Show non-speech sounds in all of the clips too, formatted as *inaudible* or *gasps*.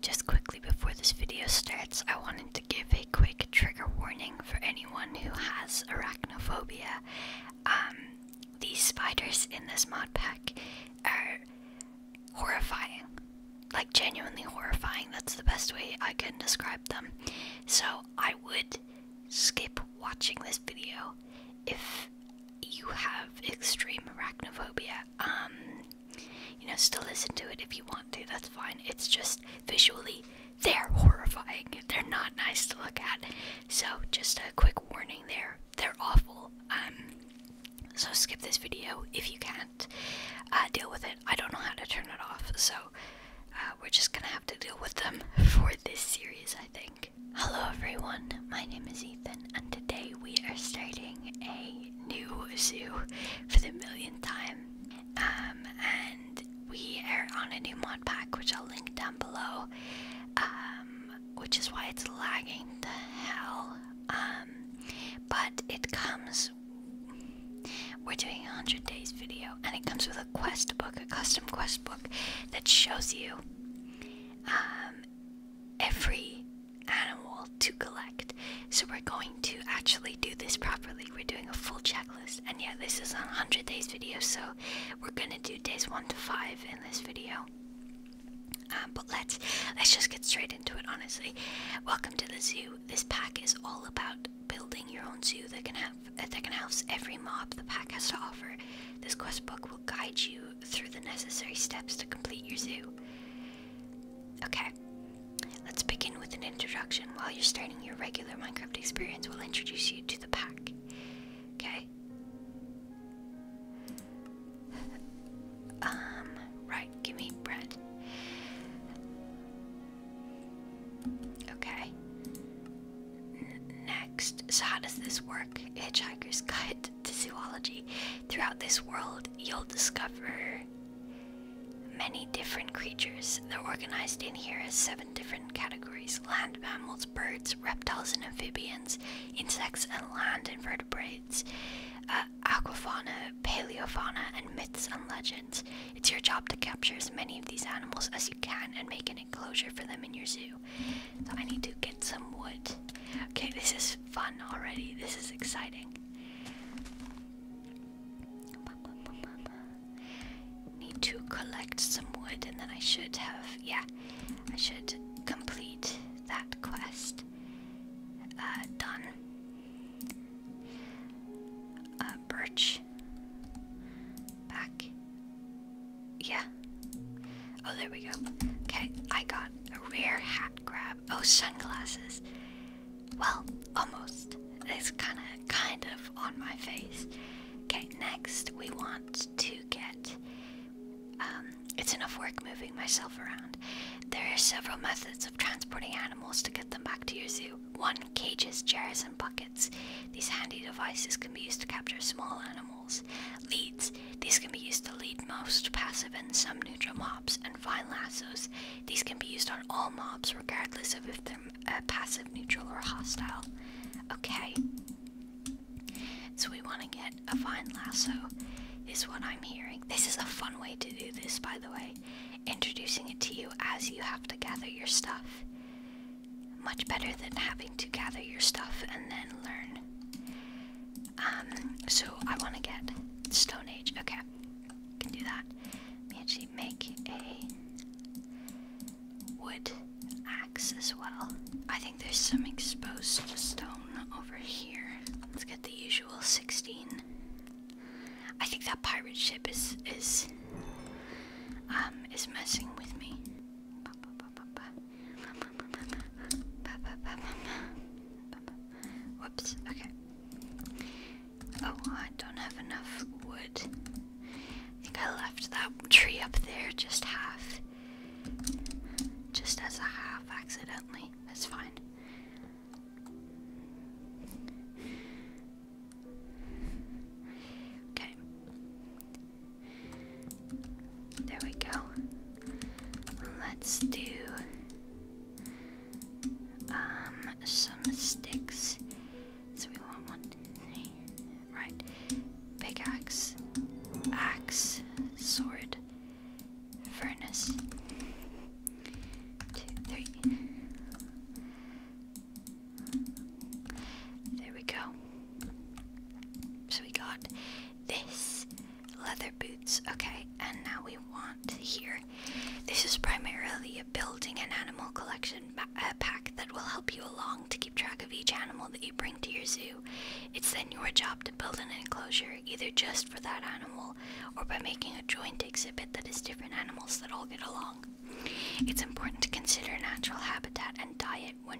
Just quickly before this video starts, I wanted to give a quick trigger warning for anyone who has arachnophobia. Um, these spiders in this mod pack are horrifying. Like, genuinely horrifying. That's the best way I can describe them. So, I would skip watching this video if you have extreme arachnophobia, um, you know, still listen to it if you want to, that's fine. It's just visually, they're horrifying. They're not nice to look at. So, just a quick warning there. They're awful. Um, so skip this video if you can't uh, deal with it. I don't know how to turn it off, so uh, we're just gonna have to deal with them *laughs* for this series, I think. Hello everyone, my name is Ethan, and today we are starting a new zoo for the millionth time. Um, and we are on a new mod pack, which I'll link down below. Um, which is why it's lagging the hell. Um, but it comes. We're doing a hundred days video, and it comes with a quest book, a custom quest book that shows you um, every animal to collect. So we're going to actually do this properly. We're doing a full checklist, and yeah, this is a 100 days video, so we're gonna do days one to five in this video. Um, but let's let's just get straight into it honestly welcome to the zoo this pack is all about building your own zoo that can have that can house every mob the pack has to offer. This quest book will guide you through the necessary steps to complete your zoo. Okay, let's begin with an introduction. While you're starting your regular Minecraft experience, we'll introduce you to the pack. Okay. Um, right, give me bread. Okay. Next, so how does this work? Hitchhiker's Guide to Zoology. Throughout this world, you'll discover many different creatures. They're organized in here as seven different categories land mammals, birds, reptiles and amphibians, insects and land invertebrates, uh, aquafauna, paleofauna, and myths and legends. It's your job to capture as many of these animals as you can and make an enclosure for them in your zoo. So I need to get some wood. Okay, this is fun already. This is exciting. Need to collect some wood and then I should have, yeah, I should complete that quest. Uh, done. Uh, birch. Back. Yeah. Oh, there we go. Okay, I got a rare hat grab. Oh, sunglasses. Well, almost. It's kind of, kind of on my face. Okay, next we want to get. Um, it's enough work moving myself around. There are several methods of transporting animals to get them back to your zoo. One, cages, chairs, and buckets. These handy devices can be used to capture small animals Leads. These can be used to lead most passive and some neutral mobs. And fine lassos. These can be used on all mobs, regardless of if they're uh, passive, neutral, or hostile. Okay. So we want to get a fine lasso, is what I'm hearing. This is a fun way to do this, by the way. Introducing it to you as you have to gather your stuff. Much better than having to gather your stuff and then learn. Um, so I want to get Stone Age. Okay, can do that. Let make a wood axe as well. I think there's some exposed stone over here. Let's get the usual 16. I think that pirate ship is is um is messing with me. Oops. okay. Oh, I don't have enough wood. I think I left that tree up there just half. Just as a half accidentally. That's fine. Okay. There we go. Let's do um, some sticks. So we want one, right? Pickaxe, axe, sword, furnace. Two, three. There we go. So we got this leather boots. Okay, and now we want here. This is primarily a building and animal collection uh, pack that will help you along to keep track of each animal that you bring to your zoo. It's then your job to build an enclosure, either just for that animal or by making a joint exhibit that is different animals that all get along. It's important to consider natural habitat and diet when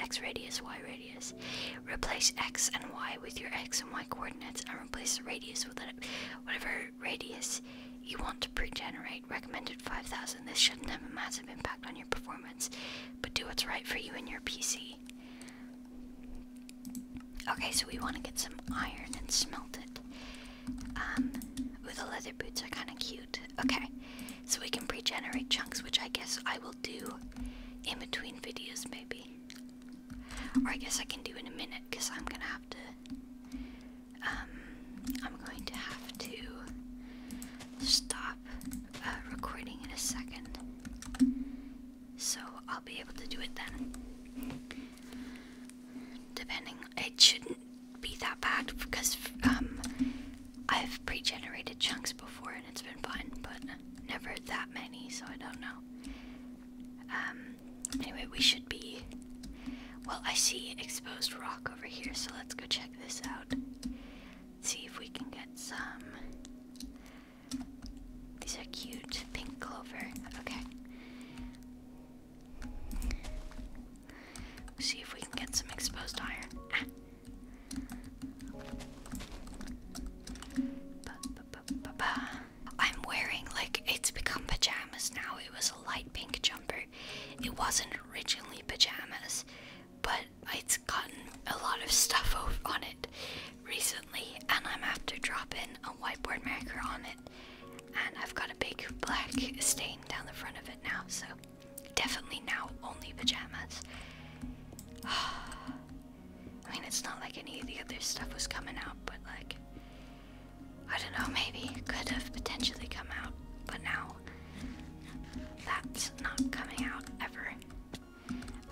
x radius, y radius. Replace x and y with your x and y coordinates and replace radius with whatever radius you want to pre-generate. Recommended 5000. This shouldn't have a massive impact on your performance, but do what's right for you and your PC. Okay, so we want to get some iron and smelt it. ooh, um, the leather boots are kind of cute. Okay, so we can pre-generate chunks, which I guess I will do in between videos, maybe. Or I guess I can do in a minute because I'm gonna have to. Um, I'm going to have to stop uh, recording in a second, so I'll be able to do it then. Depending, it shouldn't be that bad because um, I've pre-generated chunks before and it's been fun, but never that many, so I don't know. Um, anyway, we should be... Well, I see exposed rock over here, so let's go check this out. see if we can get some... These are cute. Pink clover. Okay. see if we can get some exposed iron. Ah. I'm wearing like it's become pajamas now. It was a light pink jumper. It wasn't originally pajamas, but it's gotten a lot of stuff on it recently, and I'm after dropping a whiteboard marker on it. And I've got a big black stain down the front of it now, so Definitely now only pajamas. *sighs* I mean, it's not like any of the other stuff was coming out, but like, I don't know, maybe could have potentially come out, but now that's not coming out ever.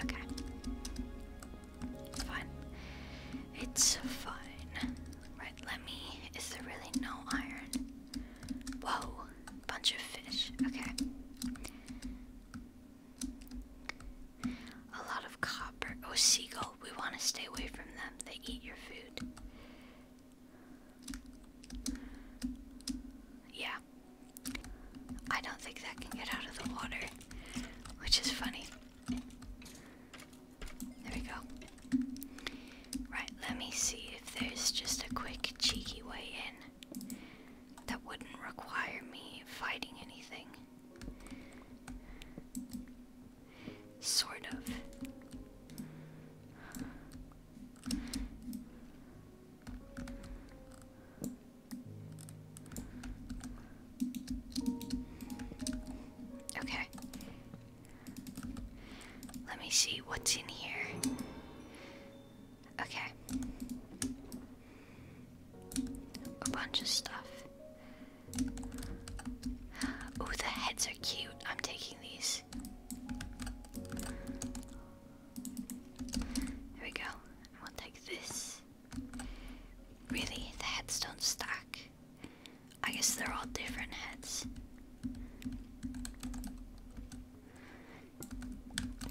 Okay. fine. It's fine. Right, let me. Is there really no iron? Whoa bunch of fish. Okay. A lot of copper. Oh, seagull. We want to stay away from them. They eat your food. Yeah. I don't think that can get out of the water, which is funny. There we go. Right, let me see if there's just a quick, cheeky way in that wouldn't require me fighting anything. Sort of. Okay. Let me see what's in here. Okay. A bunch of stuff. Oh, the heads are cute. I'm taking these. There we go. And we'll take this. Really? The heads don't stack. I guess they're all different heads.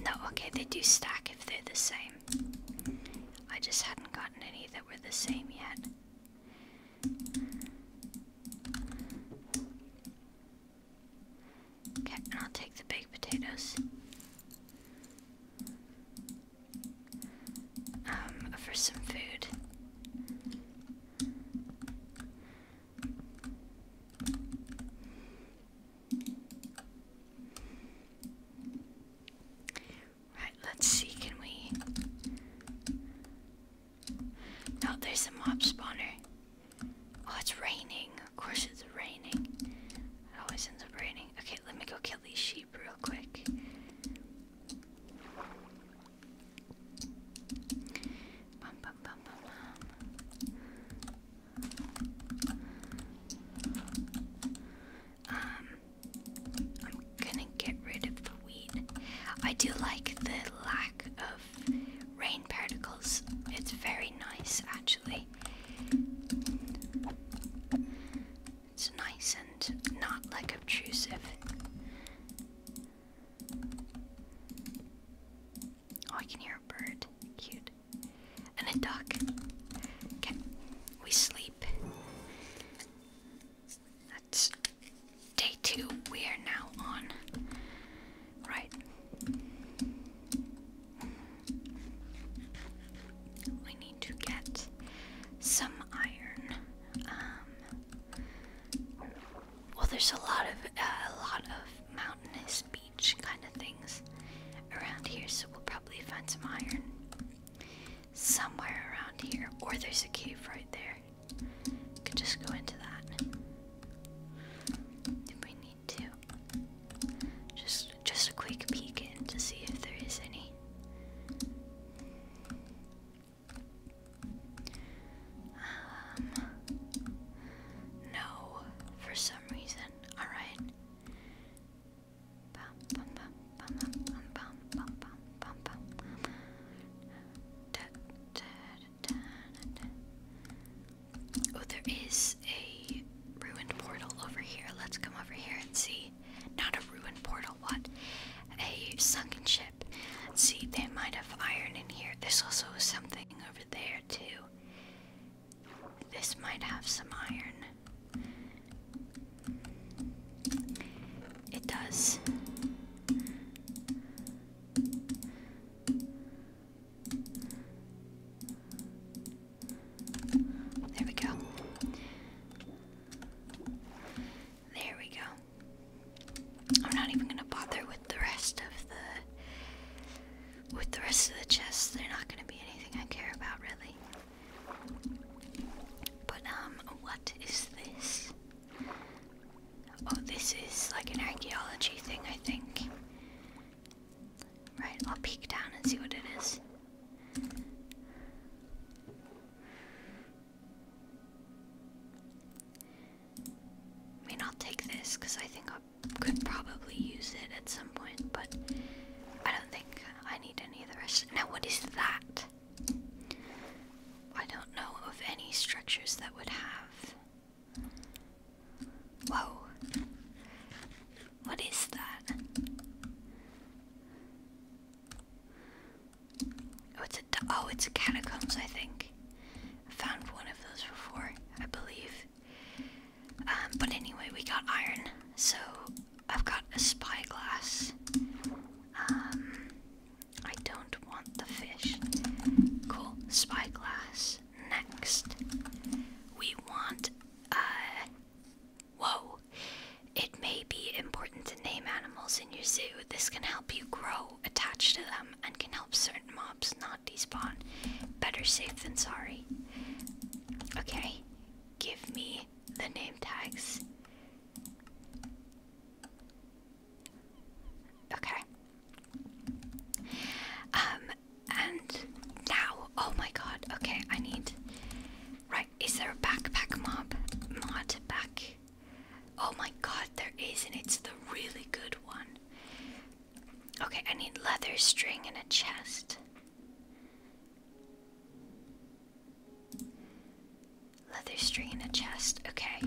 No, okay, they do stack if they're the same. I just hadn't gotten any that were the same yet. Okay, and I'll take the baked potatoes. Um, for some food. Right, let's see, can we... No, there's a mob spawner. Oh, it's raining. Of course it's raining. Oh, it always ends up raining. Okay, let me go kill these sheep real quick. Um, I'm gonna get rid of the weed. I do like the lack of rain particles, it's very nice actually. It's nice and not like obtrusive. Oh, I can hear a bird. Cute. And a duck. Okay. We sleep. That's day two. We are now on. Right. We need to get some iron. Um, well, there's a lot of uh, a lot of mountainous kind of things around here, so we'll probably find some iron somewhere around here. Or there's a cave right there. Could just go into that. If we need to. Just just a quick peek in to see if there is any. Um, no for some reason. Alright. Oh, there is a ruined portal over here. Let's come over here and see. Not a ruined portal, what? A sunken ship. See, they might have iron in here. There's also something over there, too. This might have some iron. It does. There we go. There we go. I'm not even going to bother with the rest of the with the rest of the chests, they're not gonna be anything I care about, really. But, um, what is this? Oh, this is like an archaeology thing, I think. Right, I'll peek down and see what it is. I mean, take this because I think I'll could probably use it at some point, but I don't think I need any of the rest. Now, what is that? I don't know of any structures that would have. Whoa. What is that? Oh, it's a, oh, it's a catacombs, I think. I found one of those before, I believe. Um, but anyway, we got iron. So I've got a spyglass. Um, I don't want the fish. Cool. Spyglass. Next. We want. Uh, whoa. It may be important to name animals in your zoo. This can help you grow attached to them and can help certain not despawn. Better safe than sorry. Okay, give me the name tags. Okay. Um, and now, oh my god, okay, I need. Right, is there a backpack mob? Mod back. Oh my god, there is, and it's the really good one. Okay, I need leather, string, and a chest. Leather, string, and a chest. Okay.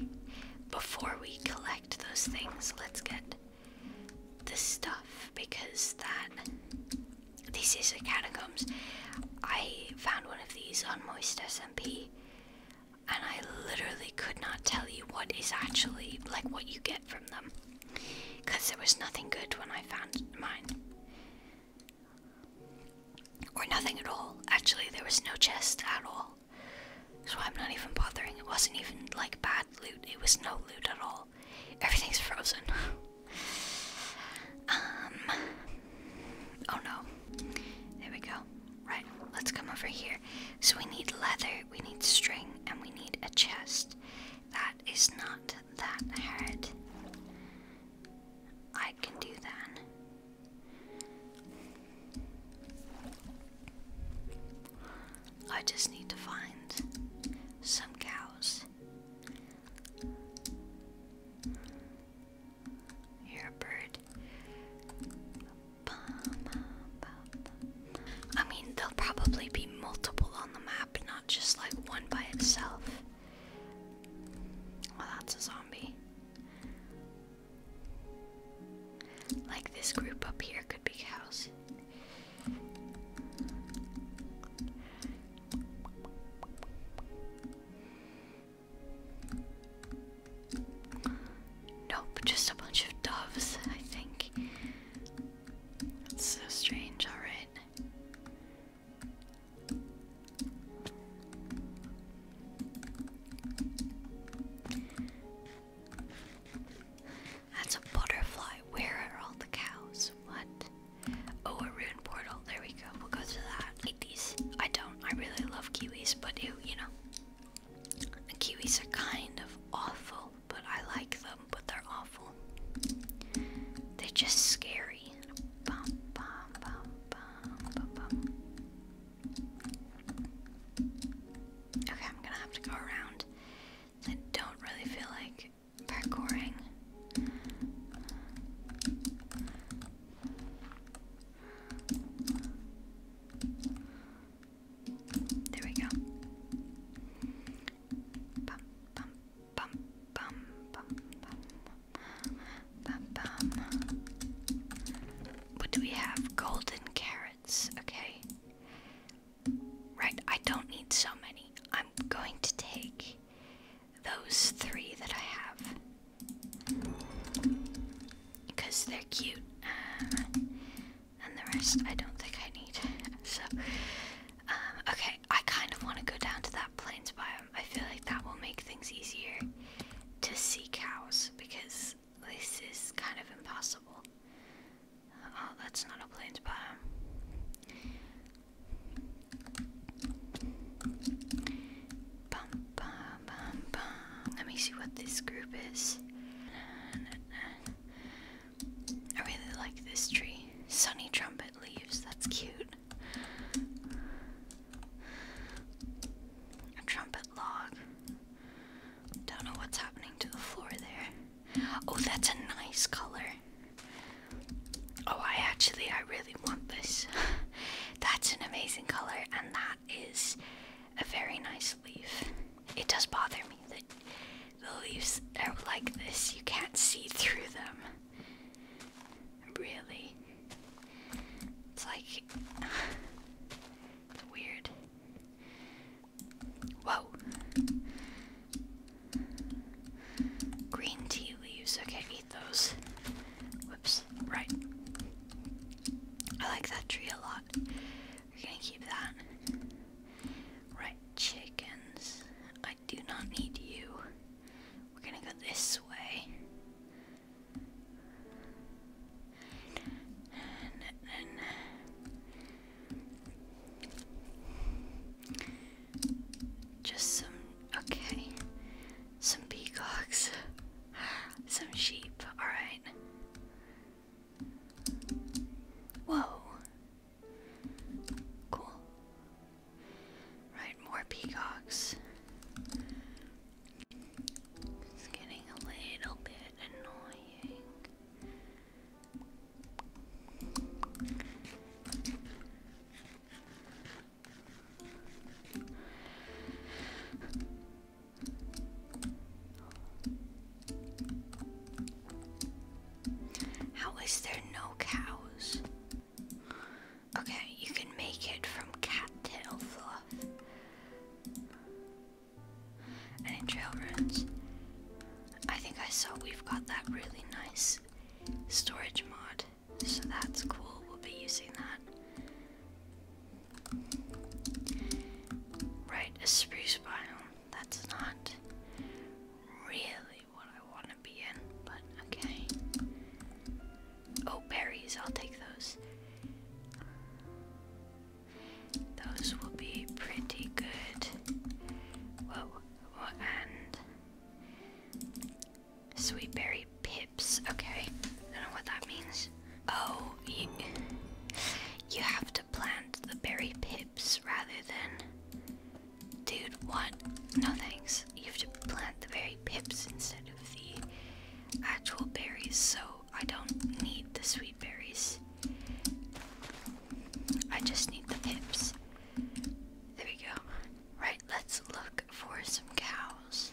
Before we collect those things, let's get this stuff because that. This is a catacombs. I found one of these on Moist SMP, and I literally could not tell you what is actually like what you get from them because there was nothing good when I found mine or nothing at all actually there was no chest at all so I'm not even bothering it wasn't even like bad loot it was no loot at all everything's frozen *laughs* um oh no there we go right let's come over here so we need leather we need string and we need a chest. That is not that hard. I can do that. I just need to find some cows. You're a bird. I mean, there'll probably be multiple on the map, not just like one by itself. Well, that's a zombie. Like this group up here could be cows. Nope, just a bunch of doves, I think. That's so strange, alright. That's a butterfly. Where are all the cows? What? Oh, a rune portal. There we go. We'll go to that. Eat I don't. I really love kiwis, but ew, you know. The kiwis are kind of awful, but I like them, but they're awful. They're just scary. Okay, I'm gonna have to go around. I don't really feel like parkouring. There we go. What do we have? Golden carrots. Okay. Right, I don't need so many. I'm going to take those three that I have because they're cute. Uh, and the rest I don't think I need. So, um, okay, I kind of want to go down to that plains biome. I feel like that will make things easier to see cows because this is kind of impossible. oh, that's not a plains biome. Let me see what this group is. I really like this tree. Sunny trumpet leaves, that's cute. A trumpet log. Don't know what's happening to the floor there. Oh, that's a nice color. Oh, I actually, I really want this. *laughs* that's an amazing color, and that is a very nice leaf. It does bother me that the leaves are like this. You can't see through them. Really. It's like. *sighs* weird. Whoa. Green tea leaves. Okay, eat those. Whoops. Right. I like that tree a lot. We're gonna keep that. Right, chickens. I do not need you. We're gonna go this way. Just some. Okay. Some peacocks. *laughs* Some sheep. Alright. Whoa. Cool. Right, more peacocks. It's getting a little bit annoying. How is there no cows? Okay, you can make it from cattail fluff. And trail runs, I think I saw we've got that really nice storage mod, so that's cool. We'll be using that. Right, a spruce biome. That's not really what I want to be in, but okay. Oh, berries. I'll take those. Those will be pretty good. Whoa, whoa and sweet berry pips. Okay, I don't know what that means. Oh, you, you have to plant the berry pips rather than. Dude, what? No thanks. You have to plant the berry pips instead of the actual berries, so I don't need the sweet berries. I just need the pips. There we go. Right, let's look for some cows.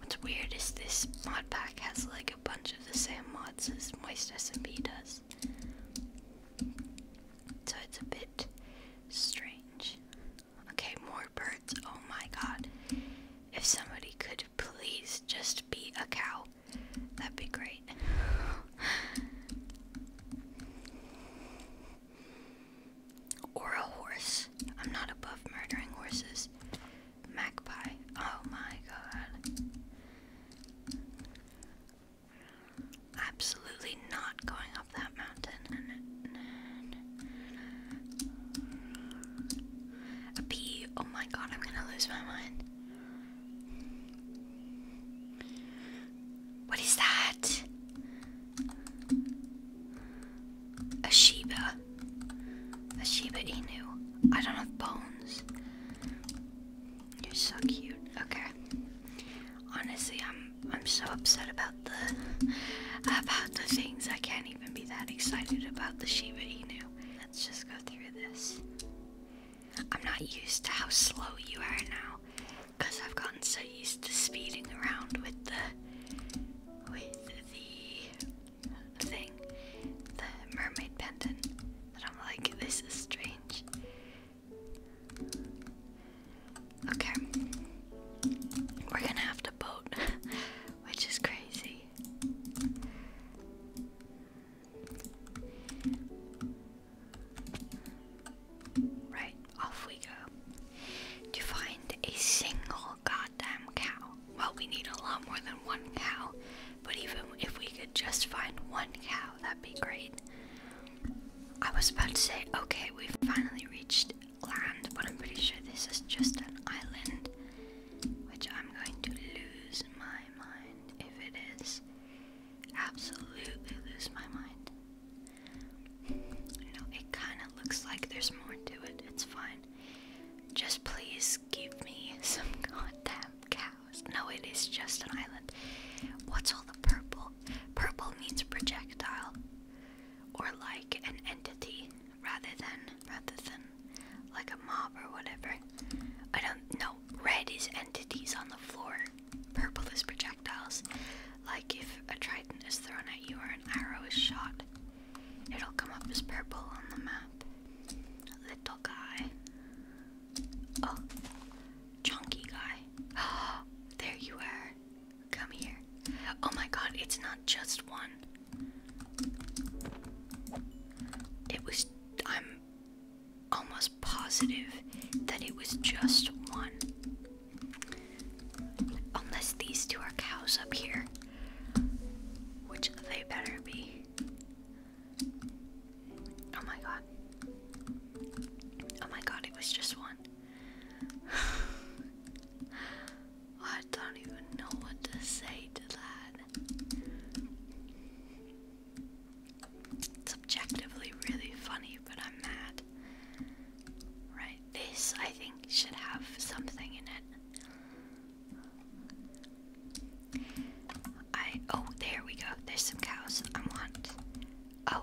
What's weird is this mod pack has like a bunch of the same mods as Moist SMP does. So it's a bit strange. Okay, more birds. Oh my god. If somebody could please just be a cow, that'd be great. Or a horse. I'm not above murdering horses. Magpie. Oh my god. Absolutely not going up that mountain. A bee. Oh my god, I'm gonna lose my mind. What is that? A Shiba. A Shiba Inu. I don't have bones. You're so cute. Okay. Honestly, I'm I'm so upset about the about the things. I can't even be that excited about the Shiba Inu. Let's just go through this. I'm not used to how slow you are now because I've gotten so used to speeding around with the with the thing, the mermaid pendant, that I'm like, this is strange. Okay, we're gonna have to boat, *laughs* which is crazy. Right, off we go. To find a single goddamn cow. Well, we need a lot more than one cow, but even if we could just find one cow, that'd be great. I was about to say, okay, we've finally reached land, but I'm pretty sure this is just an island, which I'm going to lose my mind if it is. Absolutely lose my mind. You it kind of looks like there's more to it. It's fine. Just please give me *laughs* some goddamn cows. No, it is just an island. What's all the purple? Purple means projectile, or like an entity, rather than rather than like a mob or whatever. I don't know. Red is entities on the floor. Purple is projectile like if a trident is thrown at you or an arrow is shot. It'll come up as purple on the map. Little guy. Oh, chunky guy. *gasps* there you are. Come here. Oh my god, it's not just one. It was. I'm almost positive that it was just one. Unless these two are cows up here, which they better be. Oh my god. Oh my god, it was just one. *sighs* I don't even know what to say to that. It's really funny, but I'm mad. Right, this I think should have something in it. I oh there we go. There's some cows I want. Oh.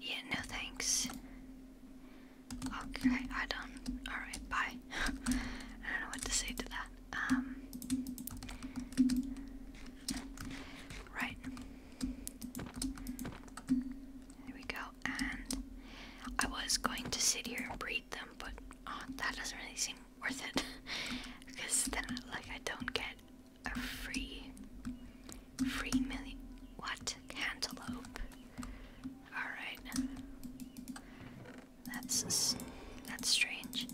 Yeah, no thanks. Okay, I done. Alright, bye. *laughs* I don't know what to say to that. Um, right. There we go. And I was going to sit here and breed them, but oh, that doesn't really seem worth it because *laughs* then, like, I don't get a free, free million. What cantaloupe? All right. That's that's strange.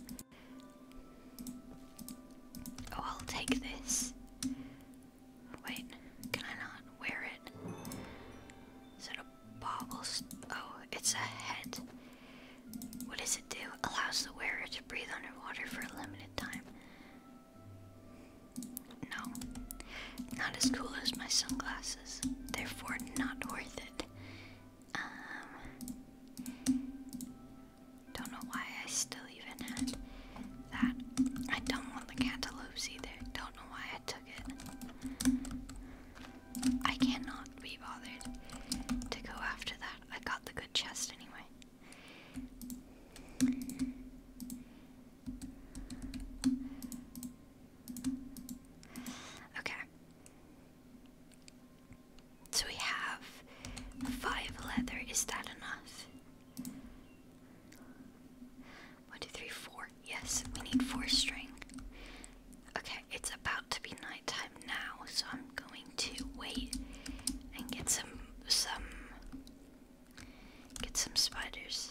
Oh, I'll take this. Wait, can I not wear it? Is it a bobble? Oh, it's a head. What does it do? Allows the wearer to breathe underwater for a limited time. No, not as cool as my sunglasses. Therefore, not worth it. Um, don't know why I still even had that. I don't want the cantaloupes either. Don't know why I took it. I cannot be bothered to go after that. I got the good chest anyway. Okay. So we have five leather. Is that enough? One, two, three, four. Yes, we need four string. Okay, it's about to be nighttime now, so I'm going to wait and get some some get some spiders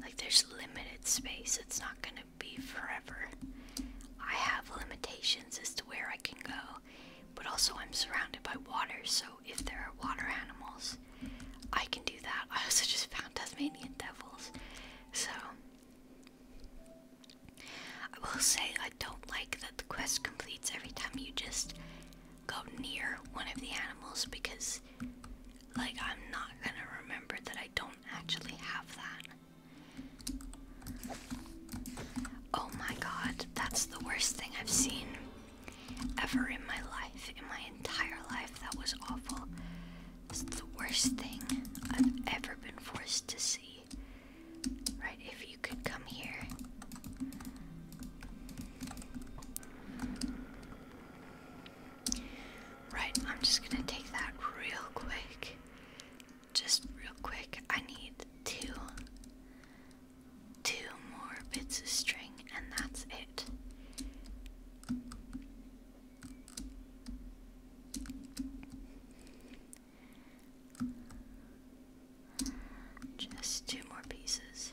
like, there's limited space, it's not gonna be forever. I have limitations as to where I can go, but also I'm surrounded by water, so if there are water animals, I can do that. I also just found Tasmanian devils, so. I will say I don't like that the quest completes every time you just go near one of the animals because, like, I'm not gonna remember that I don't actually have that. Oh my god, that's the worst thing I've seen ever in my life, in my entire life. That was awful. It's the worst thing I've ever been forced to see. Right, if you could come here. Right, I'm just gonna take that real quick. Just real quick. I need two two more bits of string and that's it. Just two more pieces.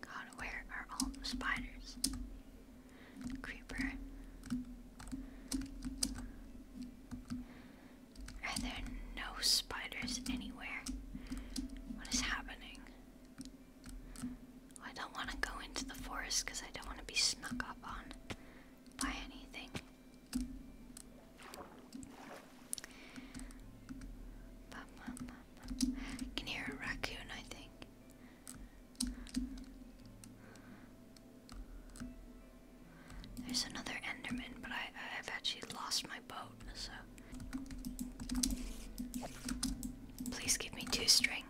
God, where are all the spiders? Creeper. Are there no spiders anywhere? What is happening? I don't want to go into the forest because I don't want to be snuck up on by anything. Can hear a raccoon, I think. There's another Enderman, but I, I've actually lost my boat, so. Please give me two string.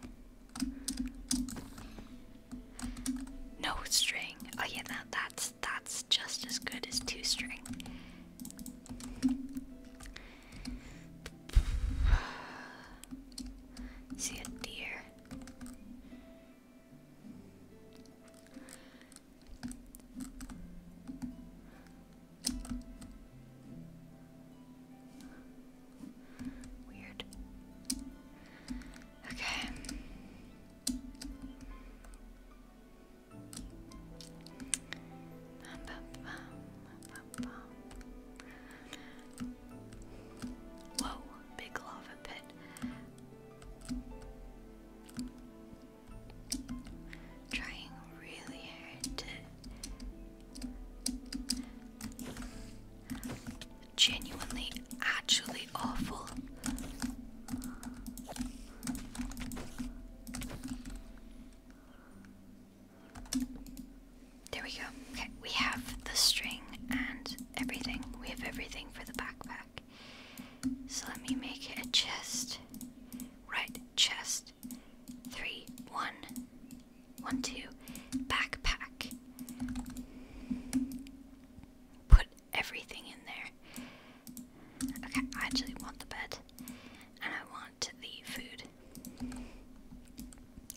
No string. Oh yeah, that, that's that's just as good as two string. See a deer. Weird. Okay. Whoa, big lava pit. Trying really hard to genuinely, actually awful. There we go. Okay, we have the string and everything. We have everything for the backpack. So let me make it a chest. Right, chest. Three, one, one, two. Backpack. Put everything in there. Okay, I actually want the bed. And I want the food.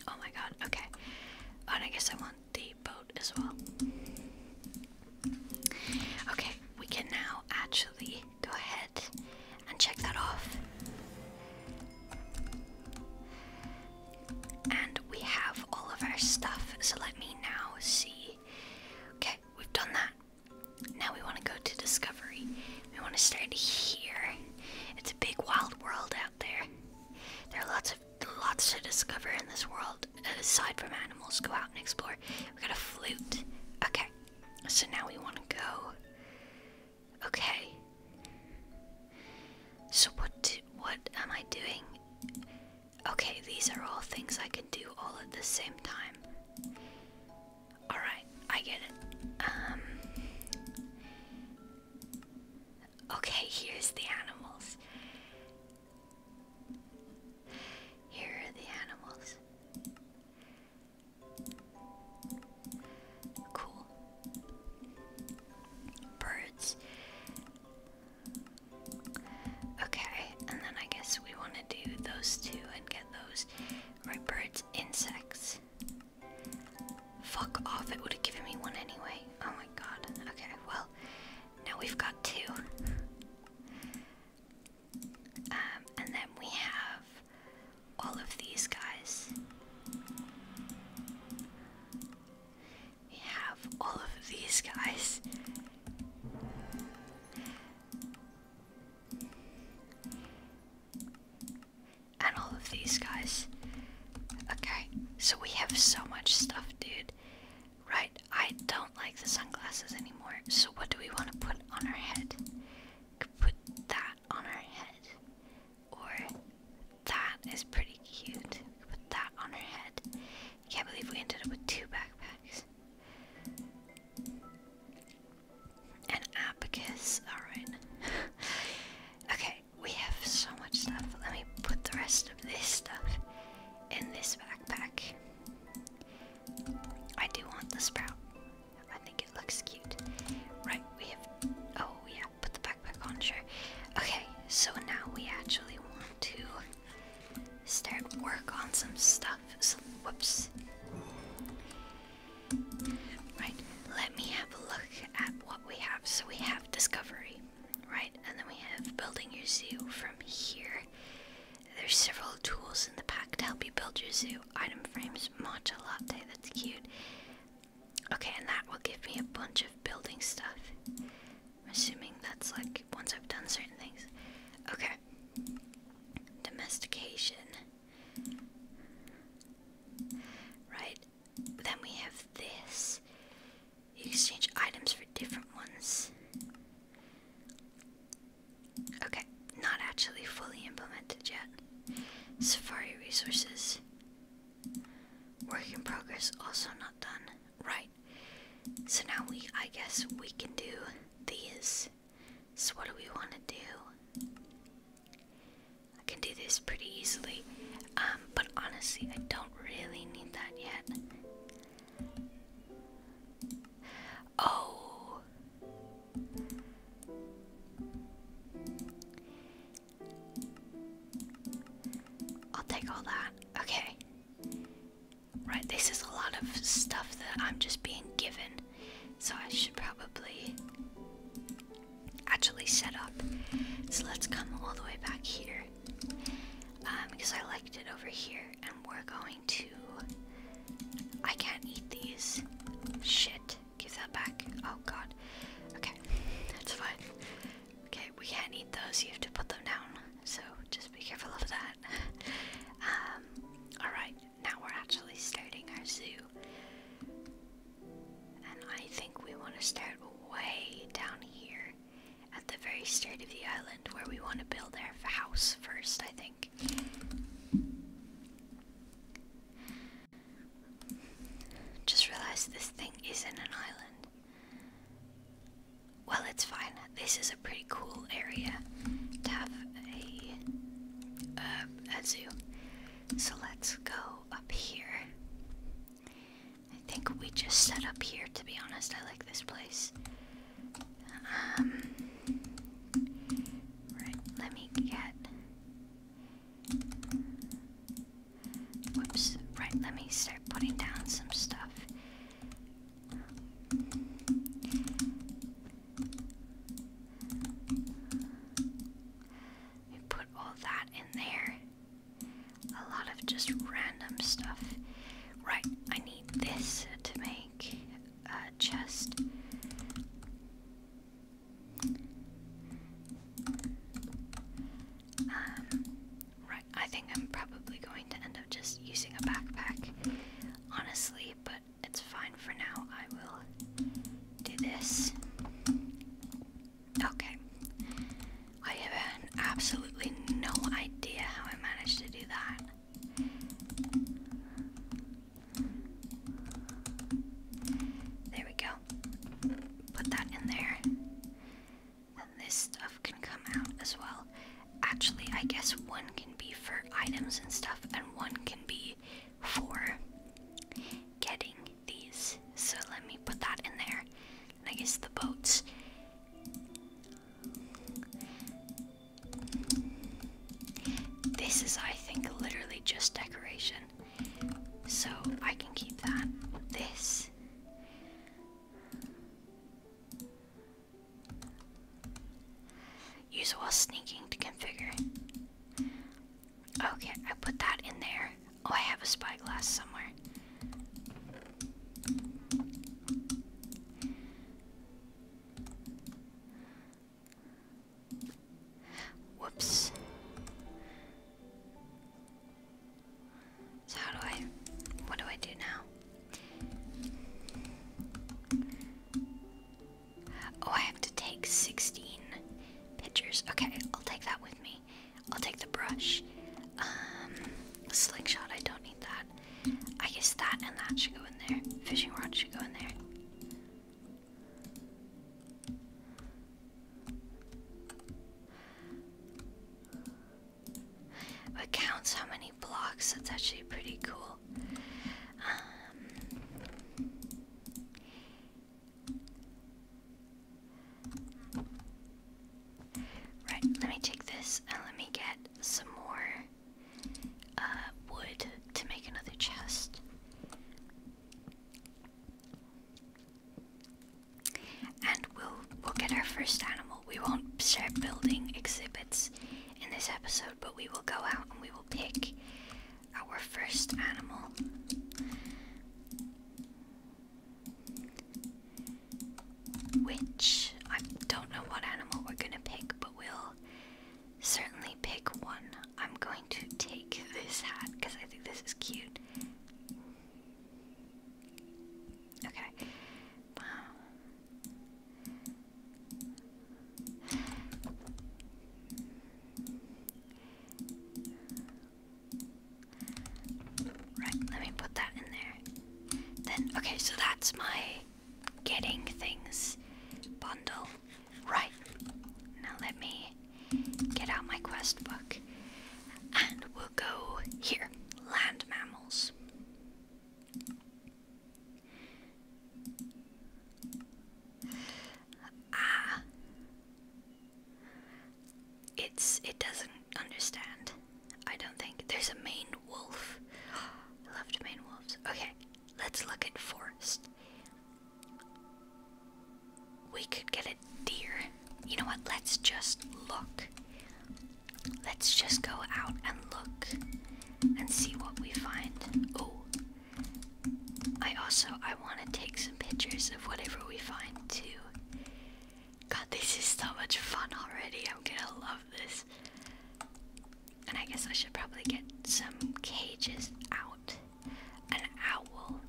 Oh my god, okay. Oh, and I guess I want the boat as well. Okay, we can now actually go ahead and check that off. And we have all of our stuff, so let me now see. Okay, we've done that. Now we want to go to Discovery. We want to start here. It's a big wild world out there. There are lots of lots to discover in this world. Aside from animals, go out and explore. We got a flute. Okay. So now we want to go. Okay. So what do, what am I doing? Okay, these are all things I can do all at the same time. Alright, I get it. Um, okay, here's the animals. Here are the animals. Cool. Birds. Okay, and then I guess we want to do those two and get those. Right, birds, insects. Fuck off, it would have given me one anyway. Oh my god. Okay, well, now we've got two. Um, and then we have all of these guys. We have all of these guys. And all of these guys. Okay, so we have so much stuff, dude. Right, I don't like the sunglasses anymore. So, what do we want to put on our head? Could put that on our head. Or, that is pretty cute. Put that on her head. Can't believe we ended up with two backpacks. An abacus, alright. *laughs* okay, we have so much stuff. Let me put the rest of this stuff in this backpack. I do want the sprout. I think it looks cute. Right, we have. Oh, yeah, put the backpack on, sure. Okay, so now we actually want to start work on some stuff. Some whoops. Right, let me have a look at what we have. So we have discovery, right? And then we have building your zoo from here. There's several tools in the pack to help you build your zoo. Item frames, mocha latte, that's cute. Okay, and that will give me a bunch of building stuff. I'm assuming that's like once I've done certain things. Okay. Domestication. Right, then we have this. You exchange items for different ones. Okay, not actually fully implemented yet. Safari resources. Work in progress, also not done. Right. So now we, I guess, we can do these. So what do we want to do? I can do this pretty easily, um, but honestly, I don't really need that yet. Oh, I'll take all that. Okay. Right, this is a lot of stuff that I'm just being given, so I should probably actually set up. So let's come all the way back here because um, I liked it over here, and we're going to. I can't eat these. Shit. Give that back. Oh god. Okay, that's fine. Okay, we can't eat those. You have to put them down. So just be careful of that. *laughs* Um, Alright, now we're actually starting our zoo. And I think we want to start way down here at the very start of the island where we want to build our house first, I think. Just realized this thing isn't an island. Well, it's fine. This is a pretty cool area to have a, uh, a zoo. So let's go up here. I think we just set up here, to be honest. I like this place. Um, right, let me get. Whoops. Right, let me start putting down some stuff. We put all that in there. A lot of just random stuff. Right, I need this to make a chest. Um, right, I think I'm probably going to end up just using a backpack. Honestly, but it's fine for now. I will do this. Okay. I have absolutely no idea how I managed to do that. There we go. Put that in there. And this stuff can come out as well. Actually, I guess one can be for items and stuff, and one can be for getting these. So let me put that in there. I guess the boats. This is, I think, literally just decoration. So I can keep that. This. Use while sneaking to configure. Okay, I put that in there. Oh, I have a spyglass somewhere. Whoops. how do I what do I do now? Oh, I have to take 16 pictures. Okay, I'll take that with me. I'll take the brush. Um, slingshot, I don't need that. I guess that and that should go in there. Fishing rod should go in there. It counts how many blocks, that's actually pretty cool. Um, right, let me take this and let me get some more uh, wood to make another chest. And we'll we'll get our first animal. We won't start building exhibits in this episode, but we will go out and we will pick our first animal. Which I don't know what animal we're gonna pick, but we'll certainly pick one. I'm going to take this hat because I think this is cute. Okay. Um, Right, let me put that in there. Then, okay, so that's my getting things bundle. Right, now let me get out my quest book and we'll go here land mammals. Ah. It's it doesn't understand. I don't think there's a main wolf. *gasps* I loved main wolves. Okay, let's look at forest. We could get a deer. You know what? Let's just look. Let's just go out and look and see what we find. Oh, I also I want to take some pictures of whatever we find too. God, this is so much fun already. I'm gonna love this. And I guess I should probably get some cages out. An owl,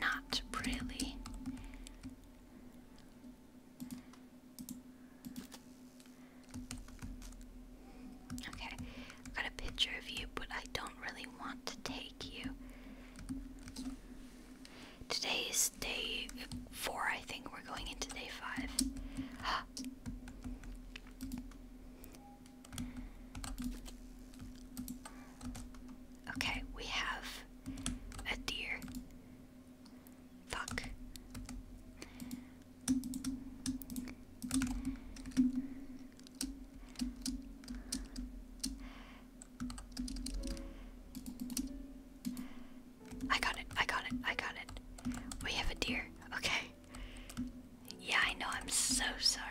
not really. Okay, i got a picture of you, but I don't really want to take you. Today is day four, I think. We're going into day five. *gasps* okay, we have a deer. Fuck. I got it, I got it, I got it. We have a deer, okay. Yeah, I know, I'm so sorry.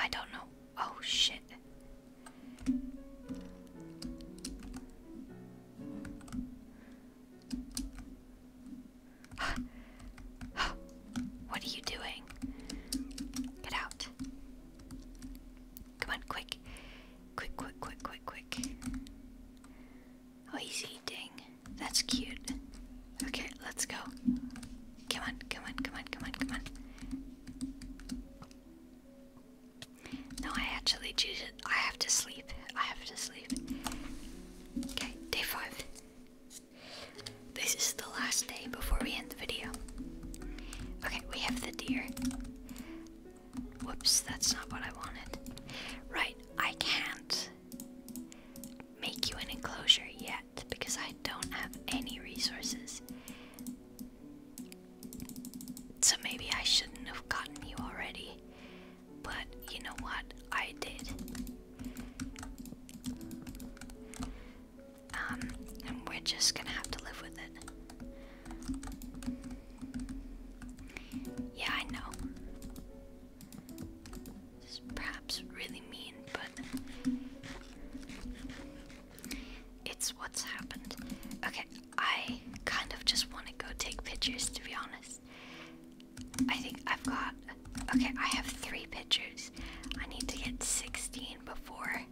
I don't know. Oh shit. *gasps* What are you doing? Get out. Come on, quick. Quick, quick, quick, quick, quick. Oh, he's eating. That's cute. Okay, let's go. Come on, come on, come on, come on, come on. No, I actually choose it. I have to sleep. I have to sleep. Okay, day five. This is the last day before we end the video. Okay, we have the deer. Whoops, that's not what I wanted. Right, I can't make you an enclosure yet because I don't have any resources. So maybe I shouldn't have gotten you already. But you know what? I did. Um, and we're just gonna have to live with it. Yeah, I know. This is perhaps really mean, but it's what's happened. Okay, I kind of just want to go take pictures, to be honest. I think I've got. Okay, I have three pictures. I need to get 16 before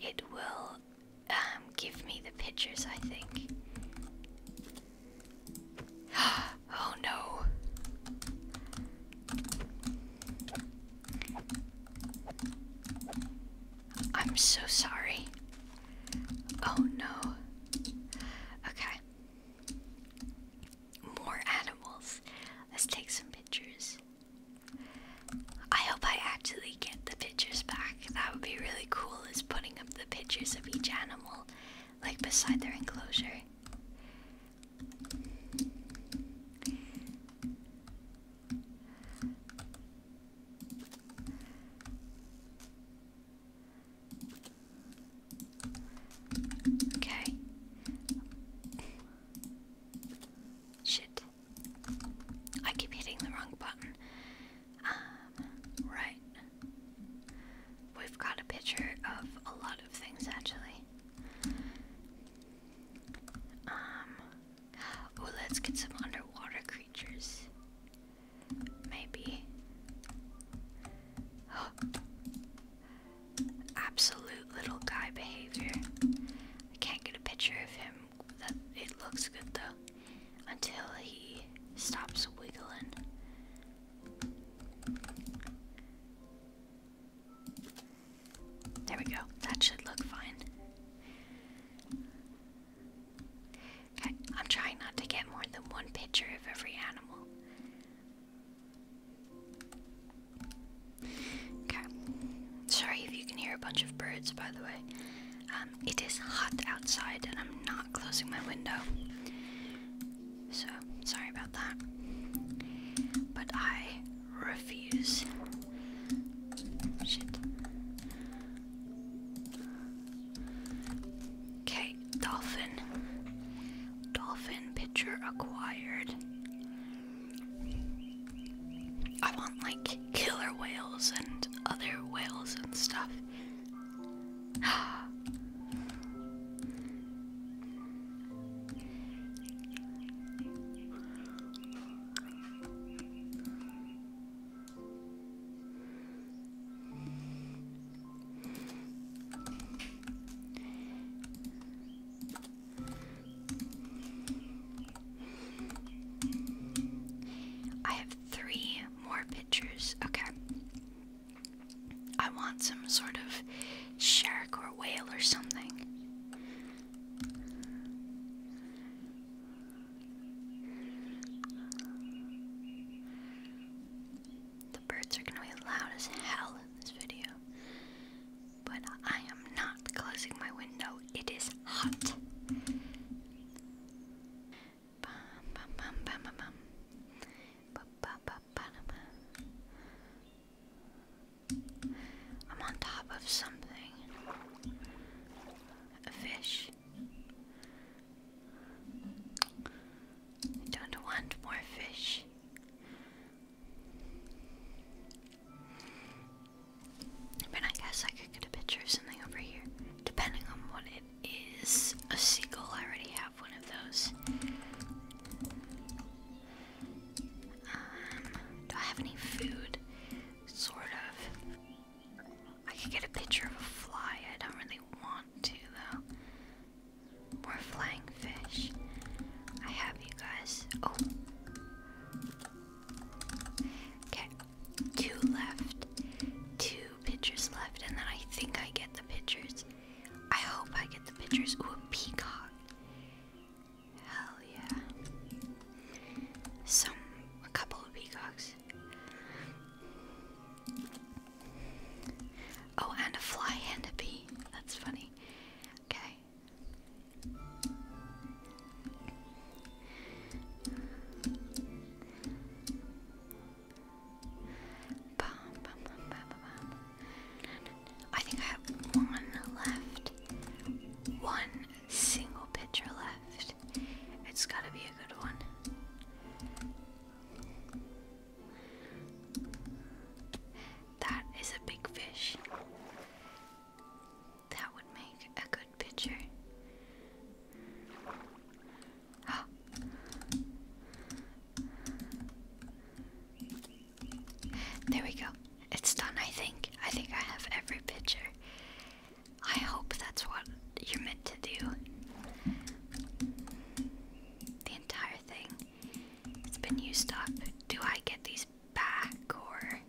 it will um, give me the pictures, I think. *gasps* oh no. I'm so sorry. Oh no. Okay. More animals. Let's take some pictures. I hope I actually get the pictures back. That would be really cool, is putting up the pictures of each animal, like beside their enclosure. Okay. Shit. I keep hitting the wrong button. Um, right. We've got a picture of a lot of things actually. Um, oh, let's get some underwater creatures. Maybe. Oh. *gasps* Absolute little guy behavior. I can't get a picture of him that it looks good though. Until he stops wiggling. There we go. That should look fine. Okay, I'm trying not to get more than one picture of every animal. Okay. Sorry if you can hear a bunch of birds, by the way. Um, it is hot outside and I'm not closing my window. So, sorry about that. But I refuse. Shit. Okay, dolphin. Dolphin picture acquired. I want like killer whales and other whales and stuff. I have three more pictures. Okay. I want some sort of shark or whale or something. The birds are gonna be loud as hell in this video, but I am not closing my window. It is hot. I'm on top of something. A fish. I don't want more fish. But I guess I could get a picture of something over here. Depending on what it is. A seagull, I already have one of those. Um, do I have any food? Sort of. I could get a picture of a fly. I don't really want to, though. More flying fish. I have you guys. Oh. Okay, two left, two pictures left, and then I think I get the pictures. I hope I get the pictures. Ooh, a peacock. Hell yeah. Some, a couple of peacocks. Oh, and a fly and a bee. That's funny. Okay. I think I have one left. One single picture left. It's gotta be a good one. That is a big fish. That would make a good picture. Ah. There we go. It's done, I think. I think I have every picture. I hope that's what you're meant to do. The entire thing. has been used up. Do I get these back or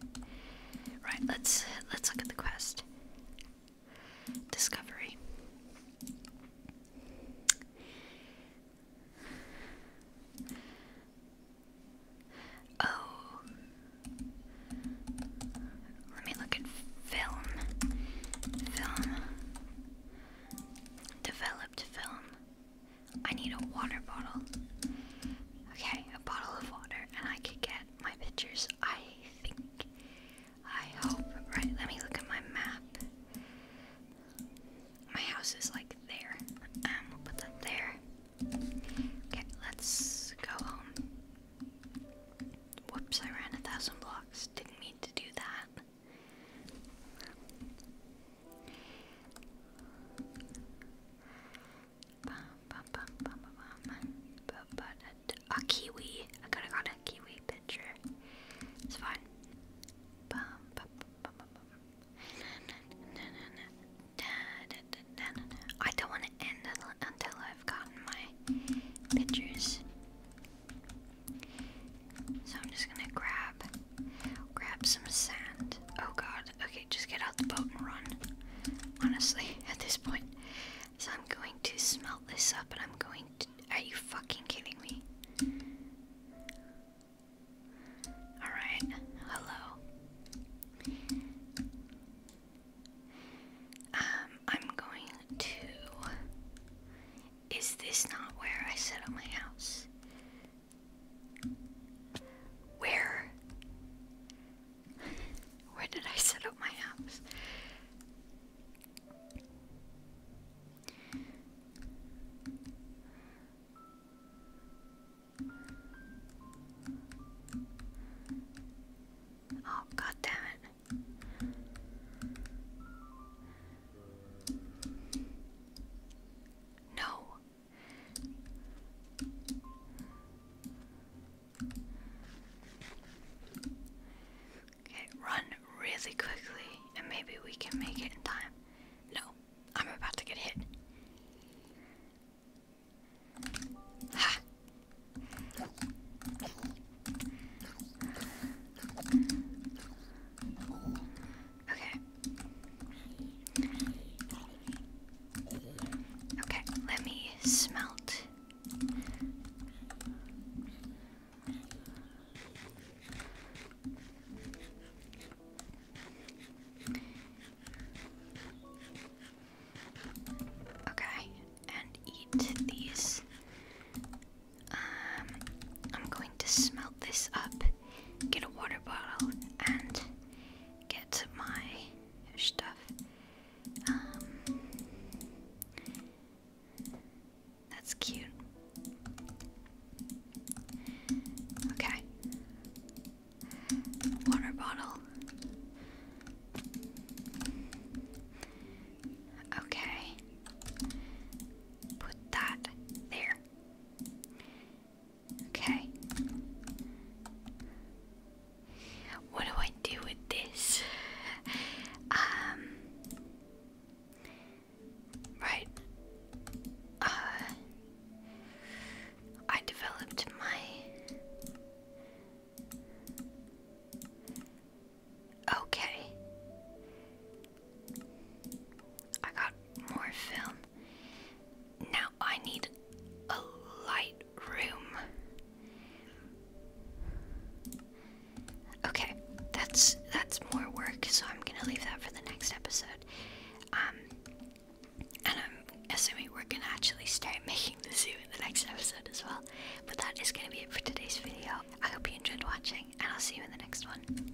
Right, let's let's look at the quest. Discovery. Oh. Let me look at film. Film. Developed film. I need a water bottle. Okay, a bottle of water, and I could get my pictures, I think. I hope. Right, let me look at my map. My house is like there. Um, we'll put that there. Okay, let's go home. Whoops, I ran a thousand blocks. Didn't mean to do that. A kiwi. I could have got a kiwi picture. It's fine. I don't want to end until I've gotten my pictures. So I'm just gonna grab grab some sand. Oh god, okay just get out the boat and run. Honestly, *laughs* at this point. So I'm going to smelt this up and I'm going to. Are you fucking kidding me? Alright, hello. Um, I'm going to. Is this not where I set up my house? Where? Where did I set up my house? Oh, god damn it. No. Okay, run really quickly and maybe we can make it in time. No, I'm about to get hit. Okay. Okay, let me smelt. Okay, and eat these. Um, I'm going to smelt this up, get a water bottle, and get my stuff. Um, that's cute. Okay. Water bottle. Okay. Put that there. Okay. What do I do with this? Um, right. Uh, I developed my Okay. I got more film. Now I need a light room. Okay, that's that's more work, so I'm gonna leave that for the next episode. Um, and I'm assuming we're gonna actually start *laughs* making the zoo in the next episode as well. But that is gonna be it for today's video. I hope you enjoyed watching, and I'll see you in the next one.